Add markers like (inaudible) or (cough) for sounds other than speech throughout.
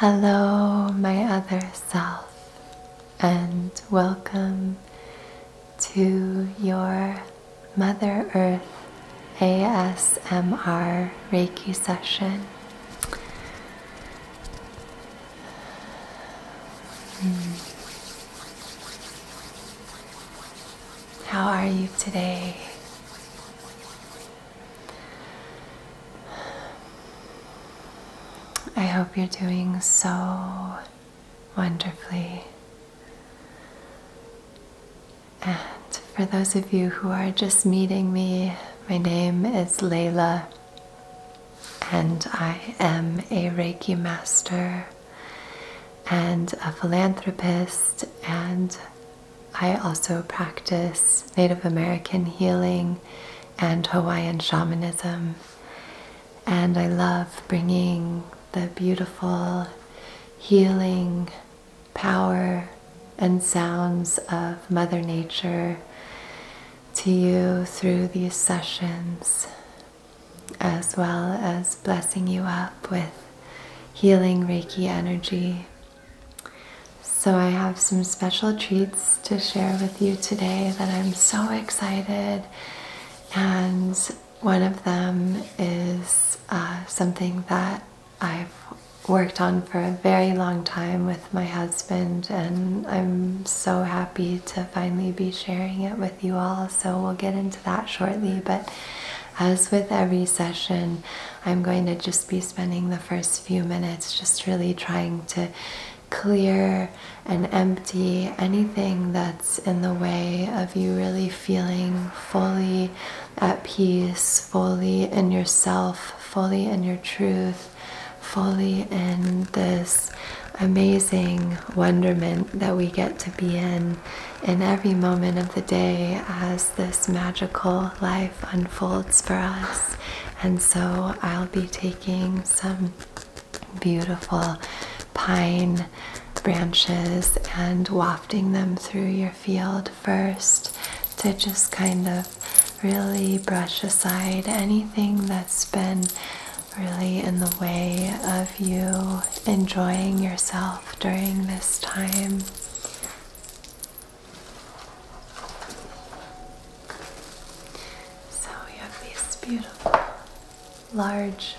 Hello, my other self, and welcome to your Mother Earth ASMR Reiki session. Hmm. How are you today? I hope you're doing so wonderfully. And for those of you who are just meeting me, my name is Layla, and I am a Reiki master and a philanthropist, and I also practice Native American healing and Hawaiian shamanism. And I love bringing the beautiful healing power and sounds of Mother Nature to you through these sessions as well as blessing you up with healing Reiki energy. So, I have some special treats to share with you today that I'm so excited. And one of them is uh, something that I've worked on for a very long time with my husband, and I'm so happy to finally be sharing it with you all, so we'll get into that shortly. But as with every session, I'm going to just be spending the first few minutes just really trying to clear and empty anything that's in the way of you really feeling fully at peace, fully in yourself, fully in your truth, fully in this amazing wonderment that we get to be in in every moment of the day as this magical life unfolds for us. And so I'll be taking some beautiful pine branches and wafting them through your field first to just kind of really brush aside anything that's been really in the way of you enjoying yourself during this time. So you have these beautiful large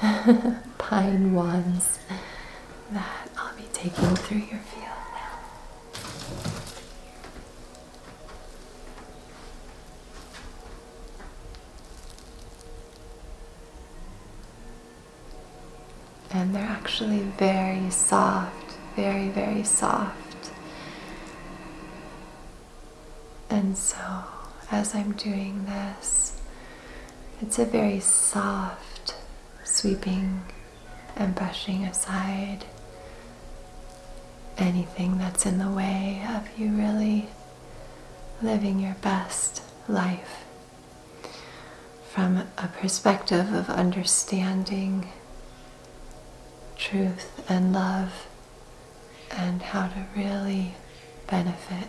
(laughs) pine wands that I'll be taking through your field now. And they're actually very soft, very, very soft. And so, as I'm doing this, it's a very soft sweeping and brushing aside anything that's in the way of you really living your best life from a perspective of understanding truth and love and how to really benefit.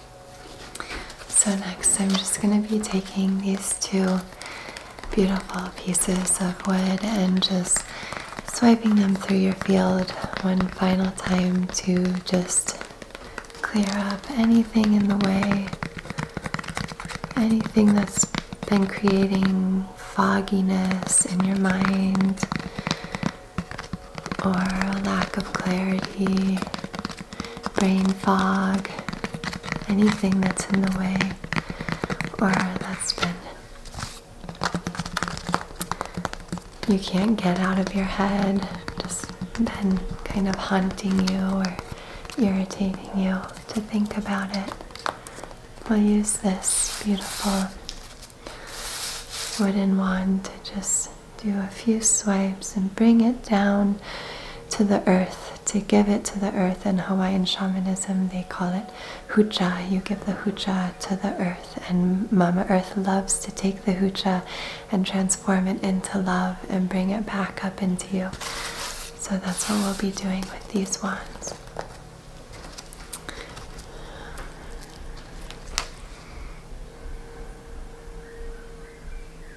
So next I'm just going to be taking these two beautiful pieces of wood and just swiping them through your field one final time to just clear up anything in the way, anything that's been creating fogginess in your mind or a lack of clarity Brain fog, anything that's in the way or that's been. You can't get out of your head, just been kind of haunting you or irritating you to think about it. We'll use this beautiful wooden wand to just do a few swipes and bring it down to the earth to give it to the earth in hawaiian shamanism they call it hucha you give the hucha to the earth and mama earth loves to take the hucha and transform it into love and bring it back up into you so that's what we'll be doing with these wands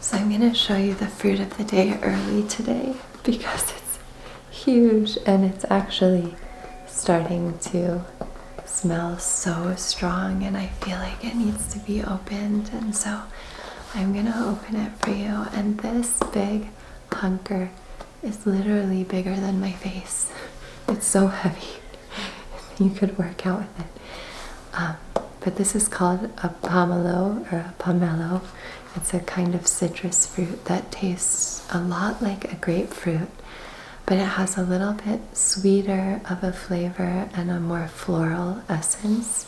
So I'm going to show you the fruit of the day early today because it's huge and it's actually starting to smell so strong and I feel like it needs to be opened and so I'm going to open it for you and this big hunker is literally bigger than my face. (laughs) It's so heavy. (laughs) You could work out with it. Um, but this is called a pomelo or a pomelo. It's a kind of citrus fruit that tastes a lot like a grapefruit, but it has a little bit sweeter of a flavor and a more floral essence.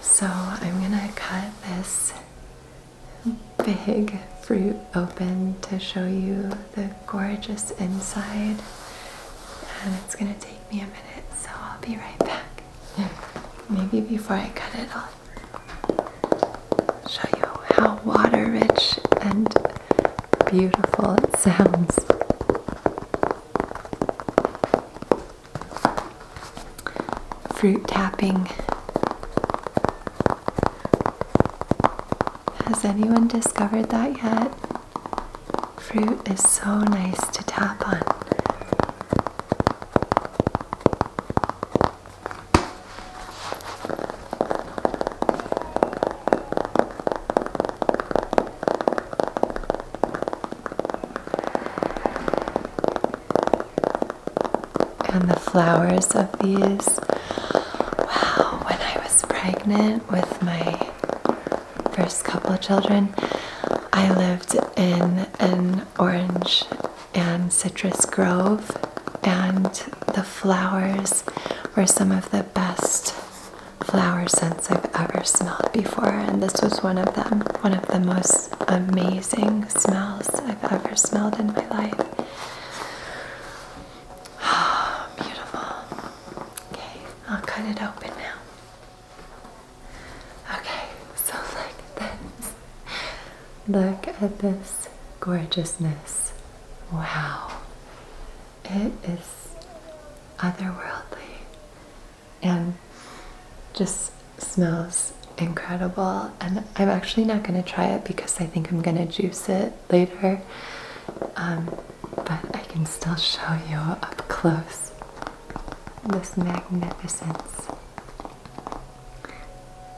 So I'm gonna cut this big fruit open to show you the gorgeous inside. And it's gonna take me a minute, so I'll be right back. (laughs) Maybe before I cut it, I'll show you how water rich and beautiful it sounds. Fruit tapping. Has anyone discovered that yet? Fruit is so nice to tap on. And the flowers of these. Wow, when I was pregnant with my first couple of children, I lived in an orange and citrus grove, and the flowers were some of the best flower scents I've ever smelled before. And this was one of them, one of the most amazing smells I've ever smelled in my life. (sighs) beautiful. Okay, I'll cut it open now. Okay, so like this. Look at this gorgeousness. Wow. It is otherworldly and just smells incredible. And I'm actually not going to try it because I think I'm going to juice it later. Um, but I can still show you up close this magnificence.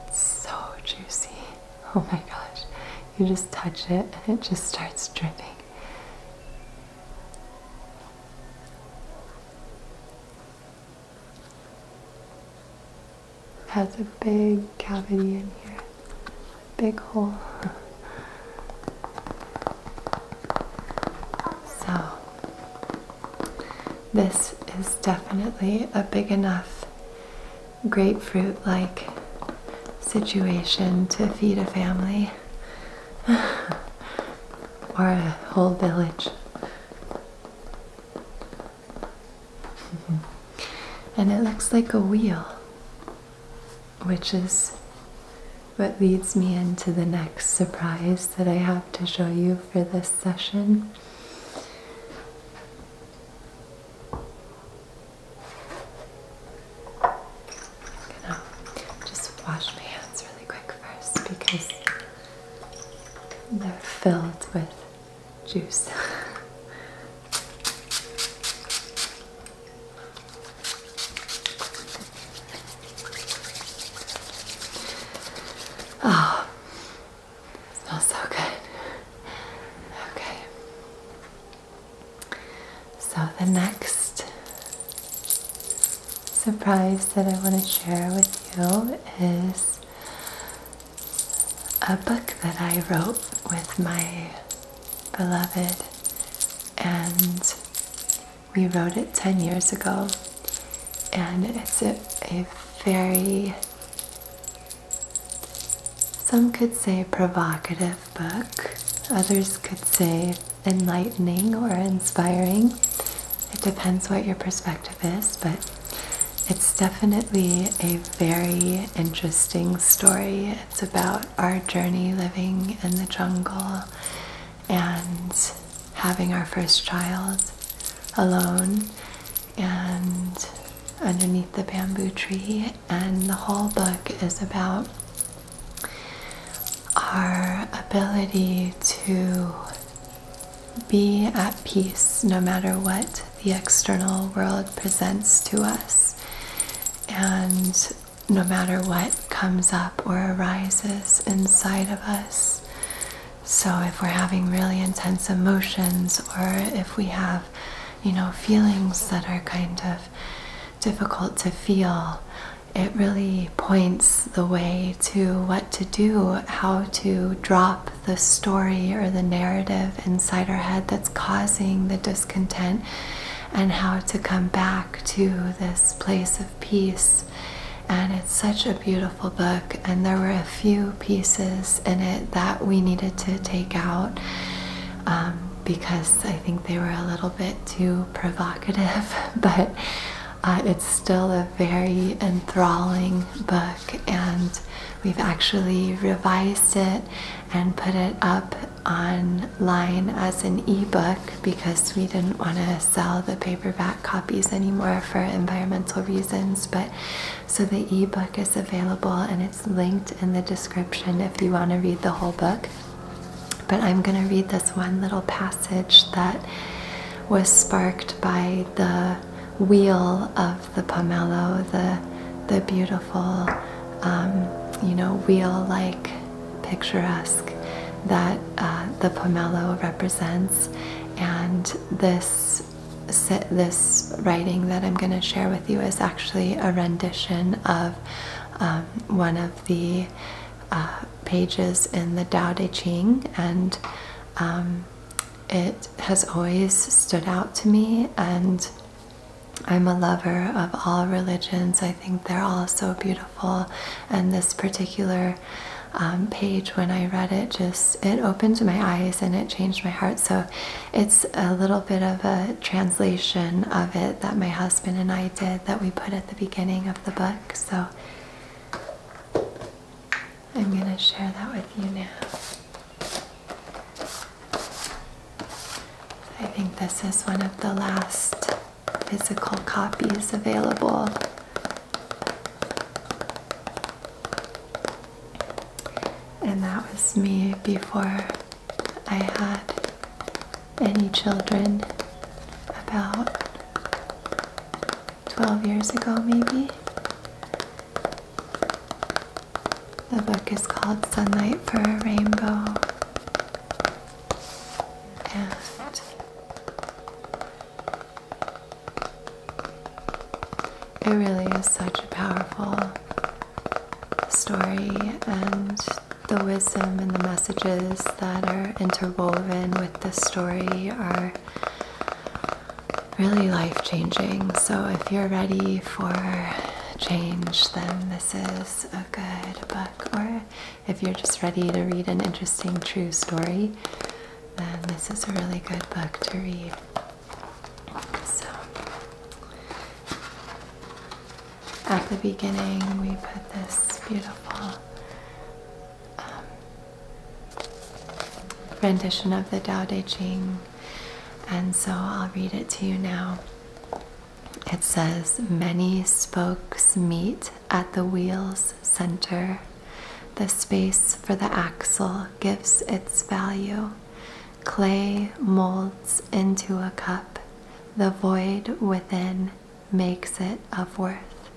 It's so juicy. (laughs) Oh my gosh. You just touch it and it just starts dripping. Has a big cavity in here, big hole. (laughs) So, this is definitely a big enough grapefruit like situation to feed a family (laughs) or a whole village. (laughs) and it looks like a wheel which is what leads me into the next surprise that I have to show you for this session. just wash my hands really quick first because they're filled with juice. (laughs) Oh, smells so good. Okay. So, the next surprise that I want to share with you is a book that I wrote with my beloved and we wrote it 10 years ago, and it's a, very, some could say provocative book, others could say enlightening or inspiring. It depends what your perspective is, but it's definitely a very interesting story. It's about our journey living in the jungle and having our first child alone and underneath the bamboo tree. And the whole book is about our ability to be at peace no matter what the external world presents to us. And no matter what comes up or arises inside of us. So if we're having really intense emotions or if we have, you know, feelings that are kind of difficult to feel, it really points the way to what to do, how to drop the story or the narrative inside our head that's causing the discontent and how to come back to this place of peace. And it's such a beautiful book, and there were a few pieces in it that we needed to take out um, because I think they were a little bit too provocative, (laughs) but uh, it's still a very enthralling book, and we've actually revised it and put it up online as an ebook because we didn't want to sell the paperback copies anymore for environmental reasons. But so the ebook is available and it's linked in the description if you want to read the whole book. But I'm going to read this one little passage that was sparked by the wheel of the pomelo, the the beautiful, um, you know, wheel-like picturesque that uh, the pomelo represents, and this this writing that I'm going to share with you is actually a rendition of um, one of the uh, pages in the Tao Te Ching, and um, it has always stood out to me and I'm a lover of all religions. I think they're all so beautiful. And this particular um, page, when I read it, just it opened my eyes and it changed my heart. So it's a little bit of a translation of it that my husband and I did that we put at the beginning of the book. So I'm going to share that with you now. I think this is one of the last physical copies available. And that was me before I had any children, about 12 years ago, maybe. The book is called Sunlight for a Rainbow it really is such a powerful story, and the wisdom and the messages that are interwoven with this story are really life changing. So, if you're ready for change, then this is a good book, or if you're just ready to read an interesting true story, then this is a really good book to read. So, at the beginning, we put this beautiful um, rendition of the Tao Te Ching, and so I'll read it to you now. It says, Many spokes meet at the wheel's center. The space for the axle gives its value. Clay molds into a cup. The void within makes it of worth.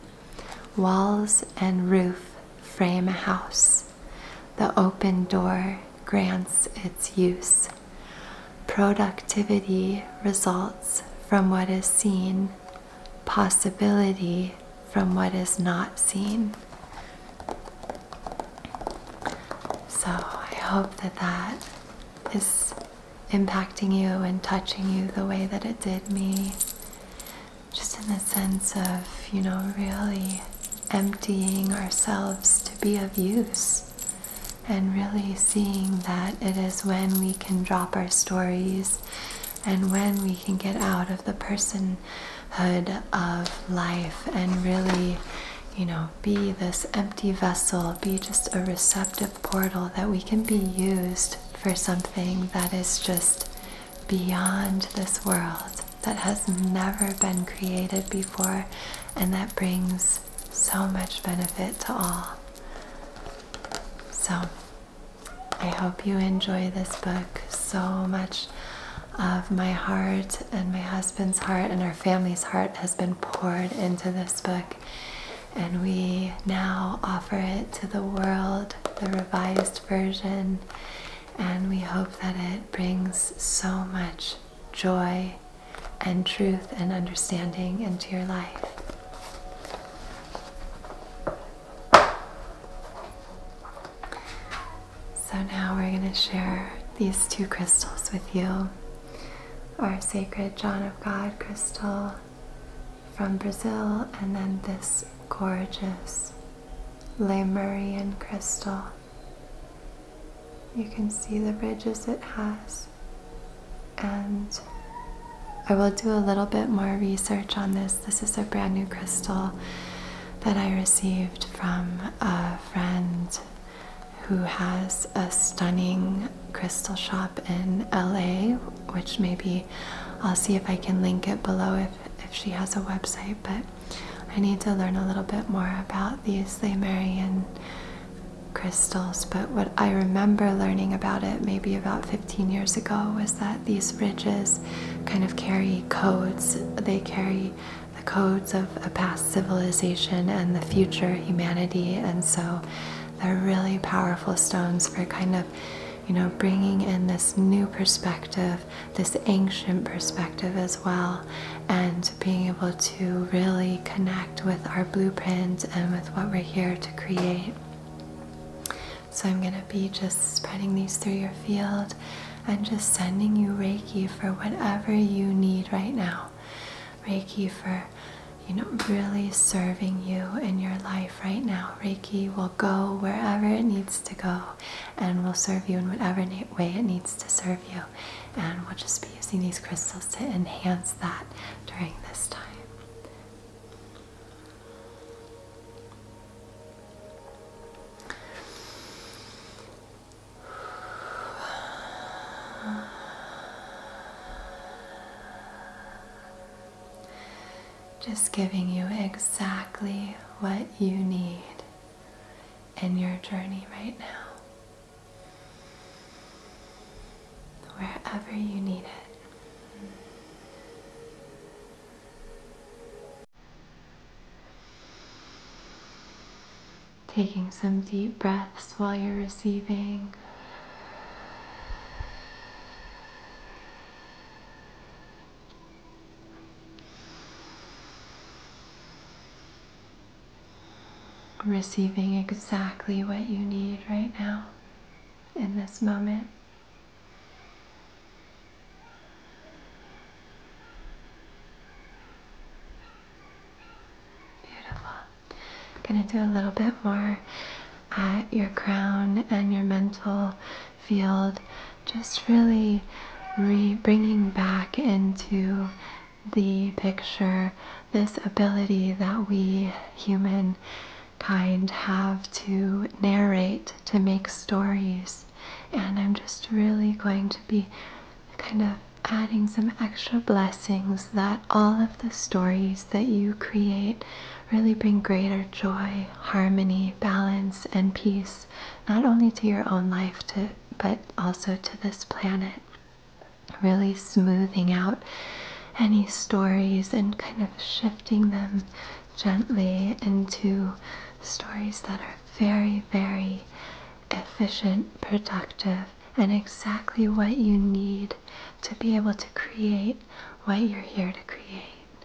Walls and roof frame a house. The open door grants its use. Productivity results from what is seen, possibility from what is not seen. So I hope that that is impacting you and touching you the way that it did me. Just in the sense of, you know, really emptying ourselves to be of use and really seeing that it is when we can drop our stories and when we can get out of the personhood of life and really, you know, be this empty vessel, be just a receptive portal that we can be used for something that is just beyond this world, that has never been created before, and that brings so much benefit to all. So, I hope you enjoy this book so much. Of my heart and my husband's heart and our family's heart has been poured into this book, and we now offer it to the world, the revised version, and we hope that it brings so much joy and truth and understanding into your life. So now we're going to share these two crystals with you. Our sacred John of God crystal from Brazil and then this gorgeous Lemurian crystal you can see the ridges it has. And I will do a little bit more research on this. This is a brand new crystal that I received from a friend who has a stunning crystal shop in LA, which maybe I'll see if I can link it below if, if she has a website. But I need to learn a little bit more about these Lemurian crystals, but what I remember learning about it maybe about 15 years ago was that these ridges kind of carry codes. They carry the codes of a past civilization and the future humanity, and so they're really powerful stones for kind of, you know, bringing in this new perspective this ancient perspective as well, and being able to really connect with our blueprint and with what we're here to create. So, I'm going to be just spreading these through your field and just sending you Reiki for whatever you need right now. Reiki for you know, really serving you in your life right now. Reiki will go wherever it needs to go and will serve you in whatever way it needs to serve you. And we'll just be using these crystals to enhance that during this time. Just giving you exactly what you need in your journey right now, wherever you need it. Taking some deep breaths while you're receiving. Receiving exactly what you need right now in this moment. Beautiful. Gonna do a little bit more at your crown and your mental field just really bringing back into the picture this ability that we human kind have to narrate, to make stories. And I'm just really going to be kind of adding some extra blessings that all of the stories that you create really bring greater joy, harmony, balance, and peace, not only to your own life, to but also to this planet. Really smoothing out any stories and kind of shifting them gently into stories that are very, very efficient, productive, and exactly what you need to be able to create what you're here to create.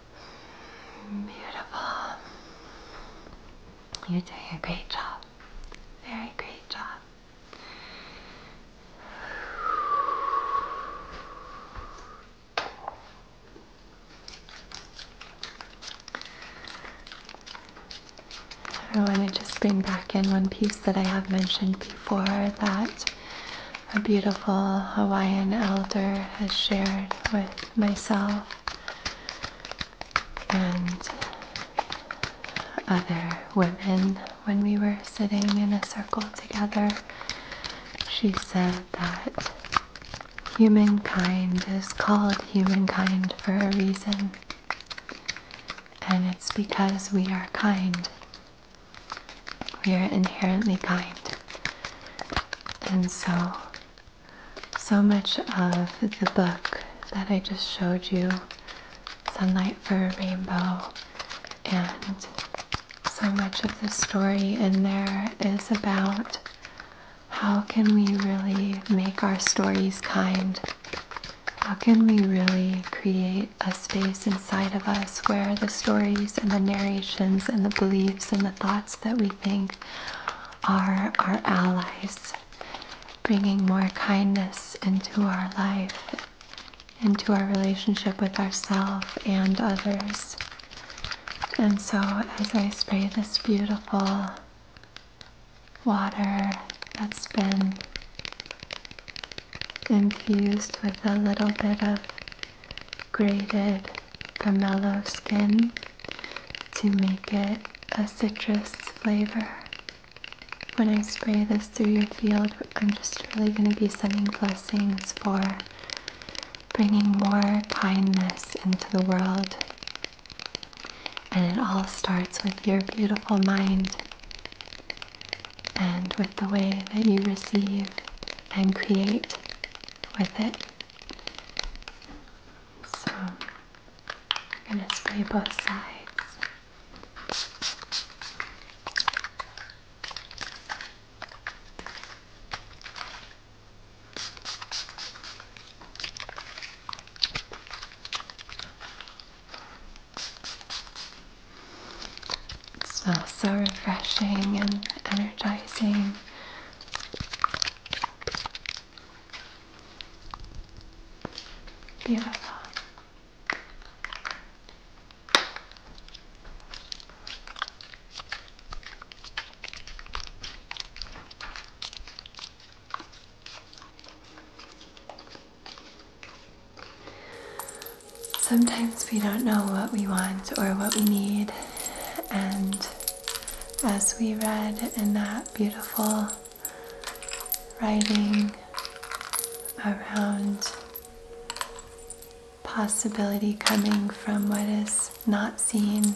Beautiful. You're doing a great job. Very great job. I want to just bring back in one piece that I have mentioned before that a beautiful Hawaiian elder has shared with myself and other women when we were sitting in a circle together. She said that humankind is called humankind for a reason, and it's because we are kind. We are inherently kind. And so so much of the book that I just showed you, Sunlight for a Rainbow, and so much of the story in there is about how can we really make our stories kind? How can we really create a space inside of us where the stories and the narrations and the beliefs and the thoughts that we are our allies, bringing more kindness into our life, into our relationship with ourselves and others. And so, as I spray this beautiful water that's been infused with a little bit of grated the mellow skin to make it a citrus flavor. When I spray this through your field, I'm just really going to be sending blessings for bringing more kindness into the world. And it all starts with your beautiful mind and with the way that you receive and create with it. So I'm going to spray both sides. It smells so refreshing and energizing. Beautiful. Sometimes we don't know what we want or what we need. And as we read in that beautiful writing around possibility coming from what is not seen,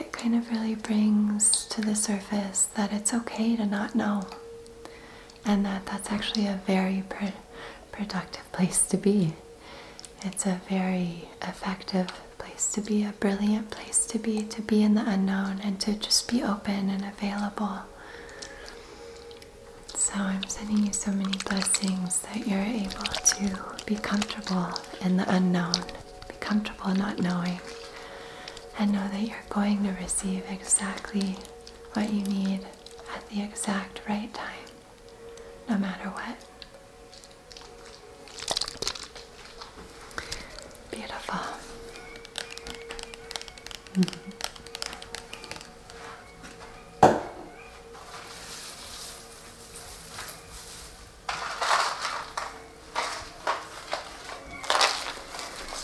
it kind of really brings to the surface that it's okay to not know and that that's actually a very productive place to be. It's a very effective place to be, a brilliant place to be, to be in the unknown and to just be open and available. So I'm sending you so many blessings that you're able to be comfortable in the unknown, be comfortable not knowing, and know that you're going to receive exactly what you need at the exact right time no matter what. Beautiful.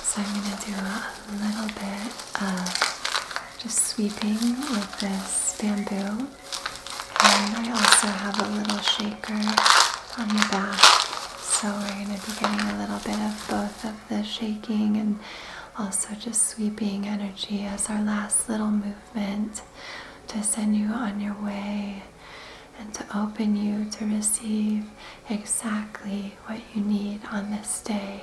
So I'm going to do a little bit of just sweeping with this bamboo. And I also have a little shaker on the back. So we're going to be getting a little bit of both of the shaking and also just sweeping energy as our last little movement to send you on your way and to open you to receive exactly what you need on this day.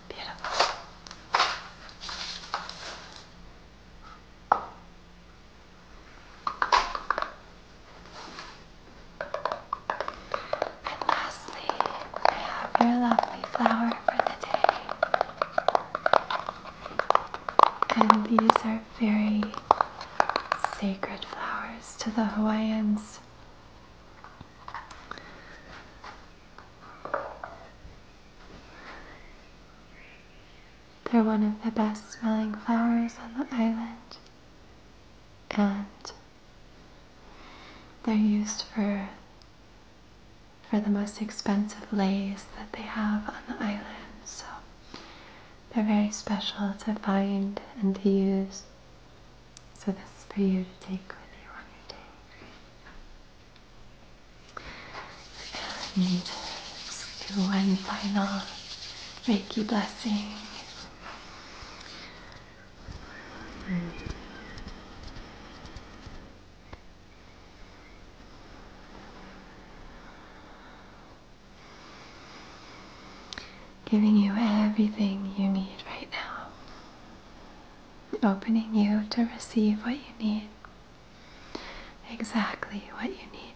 Beautiful. And lastly, I have your lovely flower for the day. And these are very sacred flowers to the Hawaiians. They're one of the best smelling flowers on the island, and they're used for for the most expensive lays that they have on the island. So they're very special to find and to use. So this is for you to take when you are on your day. And one final Reiki blessing. giving you everything you need right now opening you to receive what you need. Exactly what you need.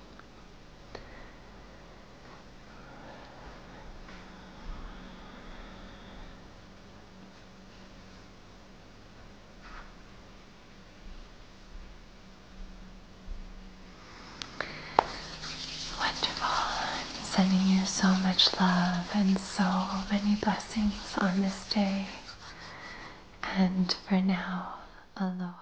Wonderful. sending you so much love and so many blessings on this day. And for now, aloha.